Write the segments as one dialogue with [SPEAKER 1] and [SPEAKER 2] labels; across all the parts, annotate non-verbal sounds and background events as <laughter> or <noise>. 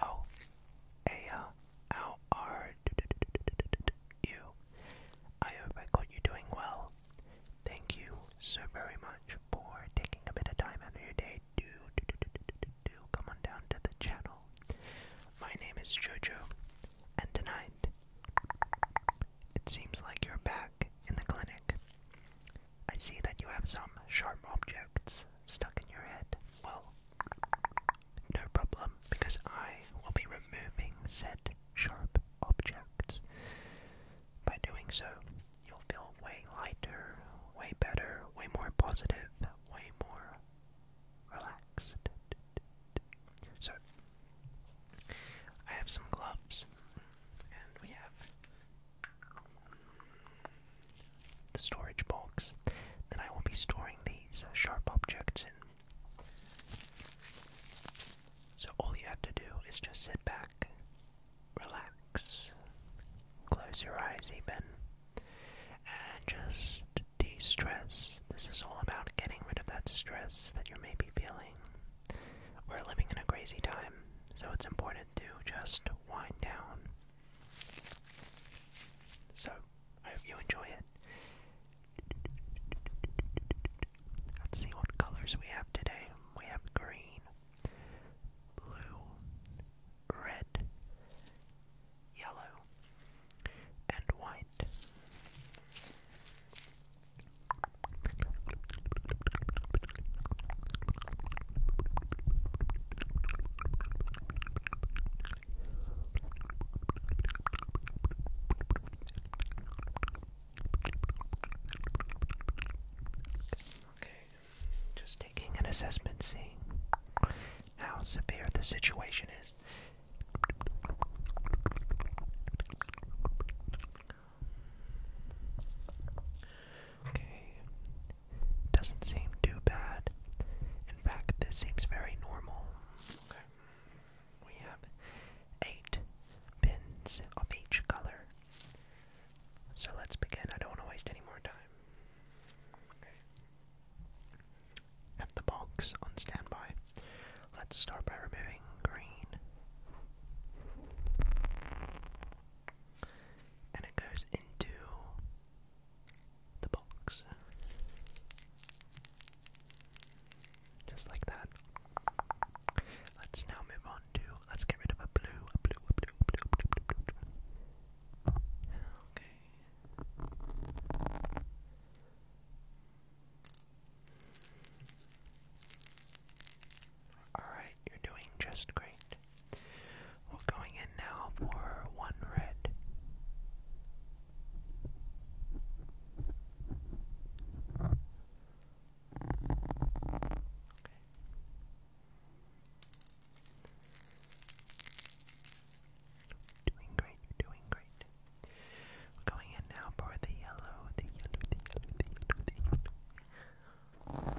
[SPEAKER 1] O A L R U. I hope I got you doing well. Thank you so very much for taking a bit of time out of your day to do, do, do, do, do come on down to the channel. My name is Jojo, and tonight it seems like you're back in the clinic. I see that you have some sharp objects stuck in your head. Well, no problem, because I will be removing said sharp objects. By doing so, you'll feel way lighter, way better, way more positive, way more relaxed. So, I have some gloves, and we have the storage box that I will be storing these sharp objects in. So all you have to do is just sit back, relax, close your eyes even, and just de stress. This is all about getting rid of that stress that you may be feeling. We're living in a crazy time, so it's important to just wind down. So, I hope you enjoy it. Let's see what colors we have today. We have green, blue, red, yellow, and white. Okay, just taking an assessment, seeing how severe the situation is. Okay. Doesn't seem too bad. In fact, this seems very normal. We have eight pins of each color. So let's begin. I don't want to waste any more time. Have the box on standby. Let's start by removing green and it goes into the box. Just like that. Let's now move on to let's get rid of a blue, a blue, a blue, a blue, blue, blue, blue, blue. Okay. Alright, you're doing just great. We're going in now for one red. Okay. Doing great, you're doing great. We're going in now for the yellow, the yellow, the yellow, the yellow, the yellow. Alright,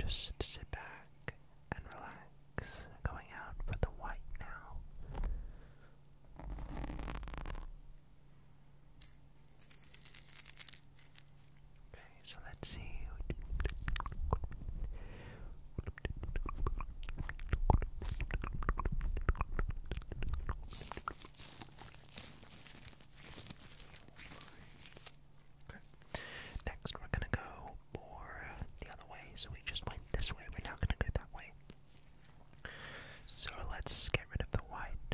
[SPEAKER 1] just sit back and relax. Going out for the white now. Okay, so let's see. Okay. Next, we're gonna go more the other way. So we just went this way. We're now gonna go that way. So let's get rid of the white.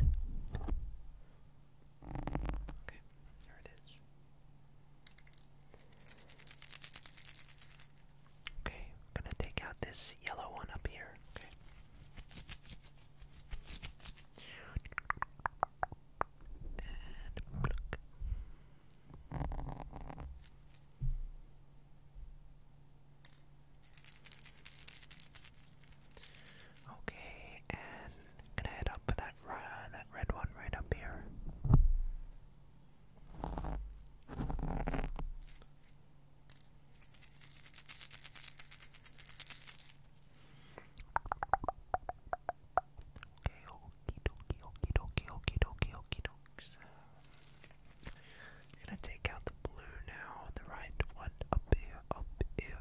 [SPEAKER 1] Okay, here it is. Okay, I'm gonna take out this yellow one up here. Okay. And look. Okay, and gonna head up for that red one right up here. Okay, okie dokie, okie dokie, okie dokie, okie i take out the blue now, the right one up here, up here.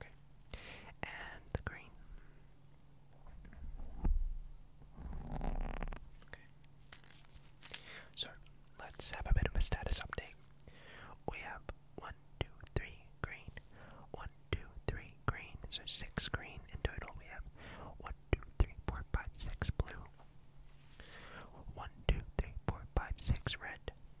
[SPEAKER 1] Okay. And the green. Okay. So let's have a bit of a status update. We have one, two, three green, one, two, three green. So six green in total. We have one, two, three, four, five, six blue. One, two, three, four, five, six red.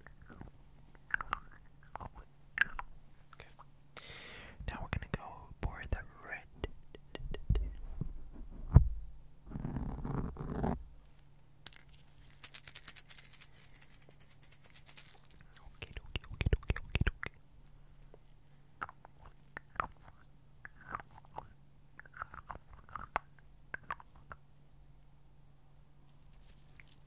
[SPEAKER 1] Okay. Now we're gonna go for the red. okay.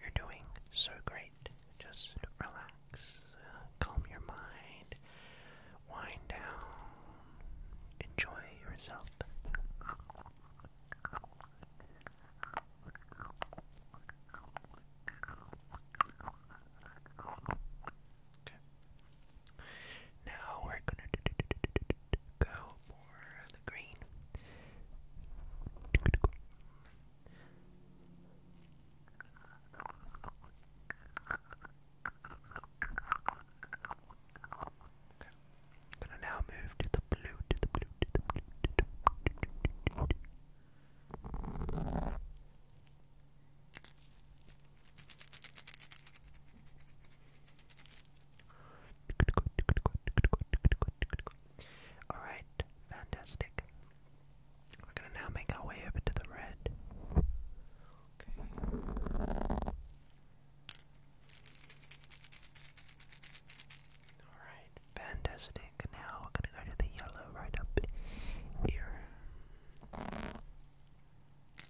[SPEAKER 1] You're doing so great. Just relax, uh, calm your mind, wind down, enjoy yourself. Now we're gonna go for the green. Okay. Gonna now move to the blue. To the blue. Alright, fantastic. We're gonna now make our way over to the red. Alright, fantastic. Now we're gonna go to the yellow right up here. Okay.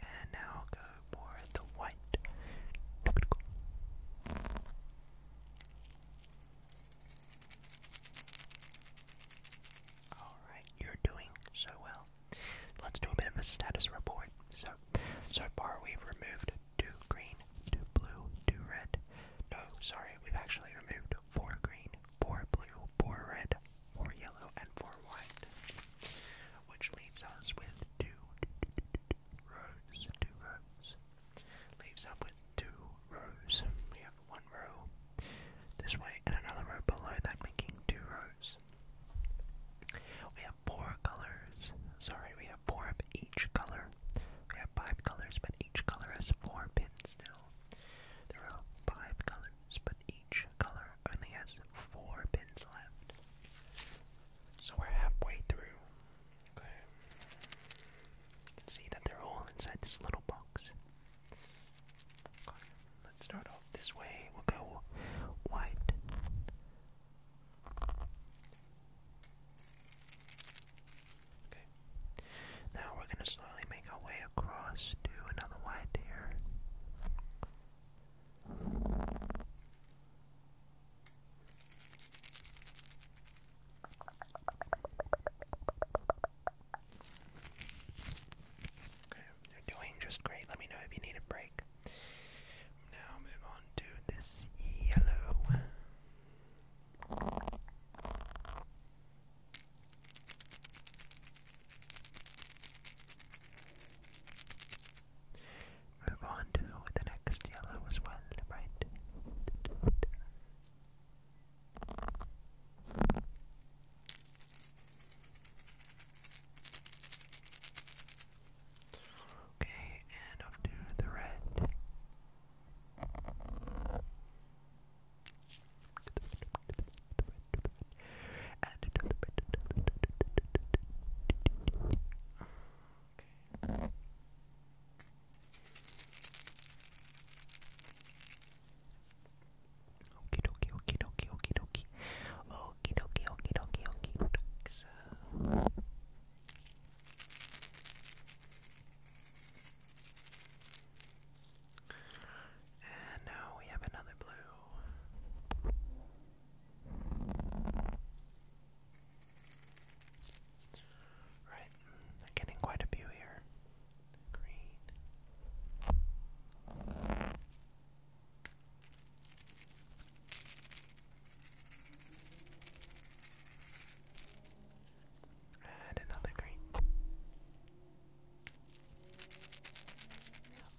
[SPEAKER 1] And now go for the white. Alright, you're doing so well. Let's do a bit of a status report. So, so far we've removed two green, two blue, two red. No, sorry, we've actually removed four green, four blue, four red, four yellow, and four white. Which leaves us with two rows, two rows, Leaves up two rows. We have one row this way and another row below that, making two rows. We have four colors. Sorry, we have four of each color. We have five colors, but each color has four pins now. There are five colors, but each color only has four pins left. So we're halfway through. Okay. You can see that they're all inside this little box. Let's start off this way. We'll go white. Okay. Now we're going to slowly make our way across to another white here. Okay, are doing just great. Let me know if you need a break. Now move on to this yellow. Move on to the next yellow as well, right? Okay, and up to the red. Okie dokie, okie dokie, okie dokie. Okie dokie, okie dokie, okie dokie. So. And now we have another blue. Right, I'm getting quite a few here. Green. And another green.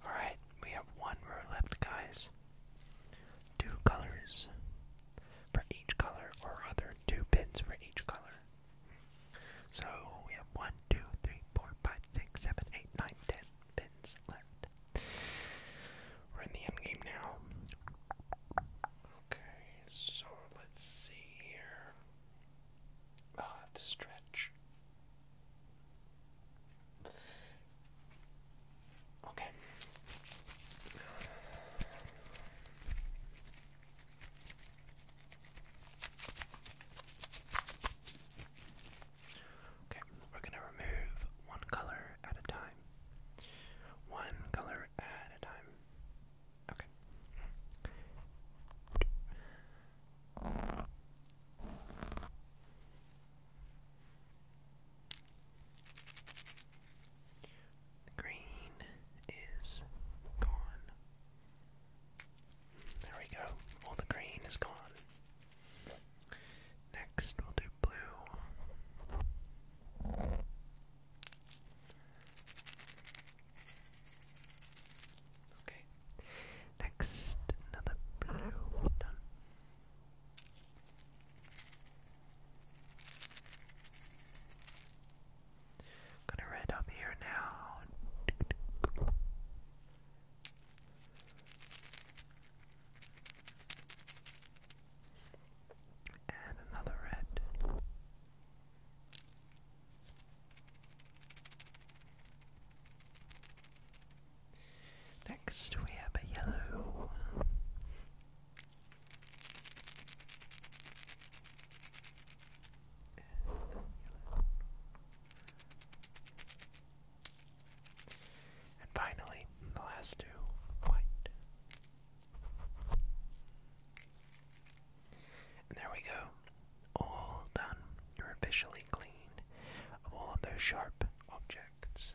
[SPEAKER 1] Alright, we have one row left, guys two colors for each color, or other two pins for each color. So we have one, two, three, four, five, six, seven, eight, nine, ten pins left. We're in the end game now. Okay, so let's see here. I'll ah, have to stretch. Okay. Okay, we're going to remove one color at a time. One color at a time. Okay green is gone. There we go. All the green is gone. Next, we'll do blue. Okay. Next, another blue. Done gonna red up here now. And another red. Next, we have a yellow. And finally, the last two, white. And there we go. All done. You're officially clean of all of those sharp objects.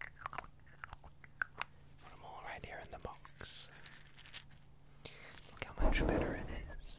[SPEAKER 1] Put them all right here in the box. Look how much better it is.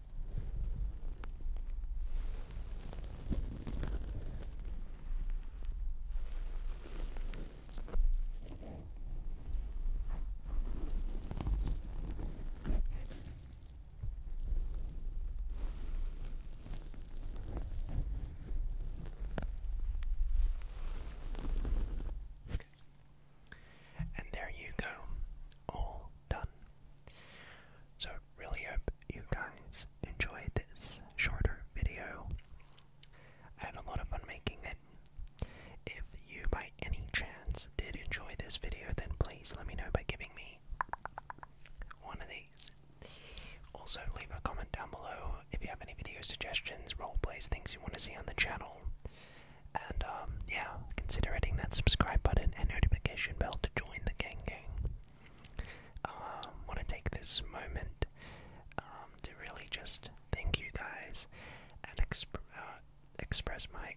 [SPEAKER 1] And there you go, all done. So, really hope you guys enjoyed this shorter video. I had a lot of fun making it. If you, by any chance, did enjoy this video, then please let me know by giving me one of these. Also, leave a comment down below if you have any video suggestions, role plays, things you want to see on the channel. And um, yeah, consider hitting that subscribe button and notification bell to join the gang gang. Um, want to take this moment um, to really just thank you guys and uh, express my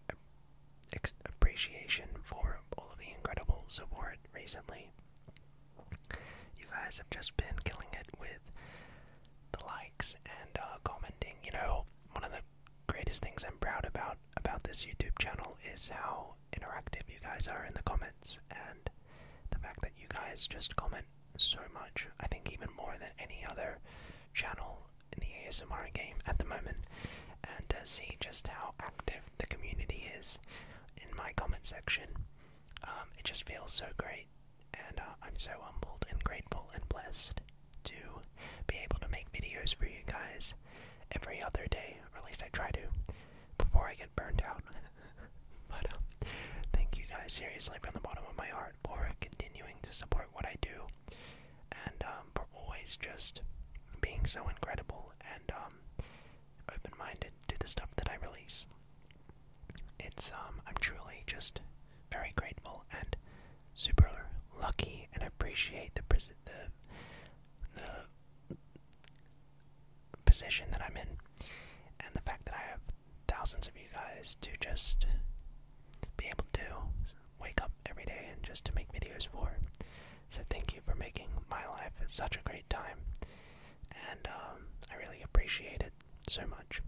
[SPEAKER 1] appreciation for all of the incredible support recently. You guys have just been killing it with the likes and uh, commenting. You know, one of the greatest things I'm proud about about this YouTube channel is how interactive you guys are in the comments and the fact that you guys just comment so much. I think even more than any other channel in the ASMR game at the moment. And to see just how active the community is in my comment section, um, it just feels so great. And uh, I'm so humbled and grateful and blessed to be able to make videos for you guys every other day, or at least I try to, before I get burned out. <laughs> but uh, thank you guys seriously from the bottom of my heart for continuing to support what I do, and um, for always just being so incredible and um, open-minded to the stuff that I release. It's um, I'm truly just very grateful and super lucky and appreciate the position that I'm in, and the fact that I have thousands of you guys to just be able to wake up every day and just to make videos for. So thank you for making my life such a great time, and um, I really appreciate it so much.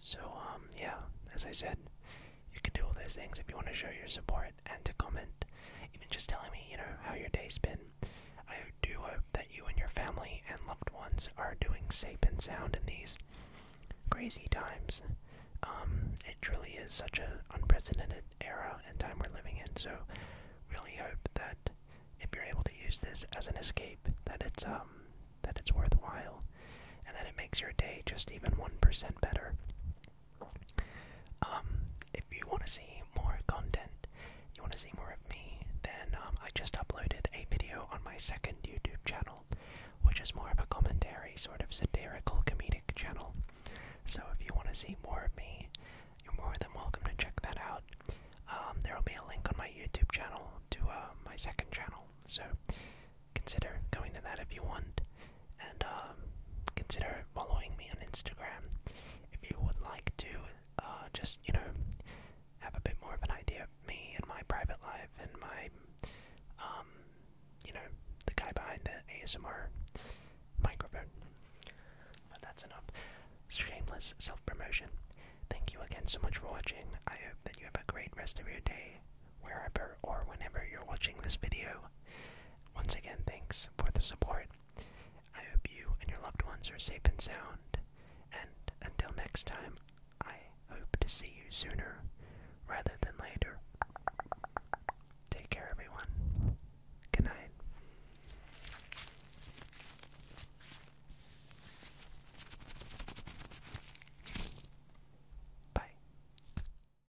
[SPEAKER 1] So um, yeah, as I said, you can do all those things if you want to show your support and to comment, even just telling me, you know, how your day's been. I do hope that you and your family and loved ones are doing safe and sound in these crazy times. Um, it truly is such an unprecedented era and time we're living in, so really hope that if you're able to use this as an escape, that it's um that it's worthwhile and that it makes your day just even one percent better. Um, if you want to see more content, you want to see more of me, then um, I just uploaded a video on my second YouTube channel, which is more of a commentary, sort of satirical, comedic channel. So if you want to see more of me, you're more than welcome to check that out. Um, there will be a link on my YouTube channel to uh, my second channel, so consider going to that if you want and um, consider following me on Instagram if you would like to uh, just, you know, have a bit more of an idea of me and my private life and my, um, you know, the guy behind the ASMR microphone. But that's enough. Shameless self promotion. Thank you again so much for watching. I hope that you have a great rest of your day wherever or whenever you're watching this video. Once again, thanks for the support. I hope you and your loved ones are safe and sound, and until next time, I hope to see you sooner rather than later. Take care, everyone. Good night. Bye.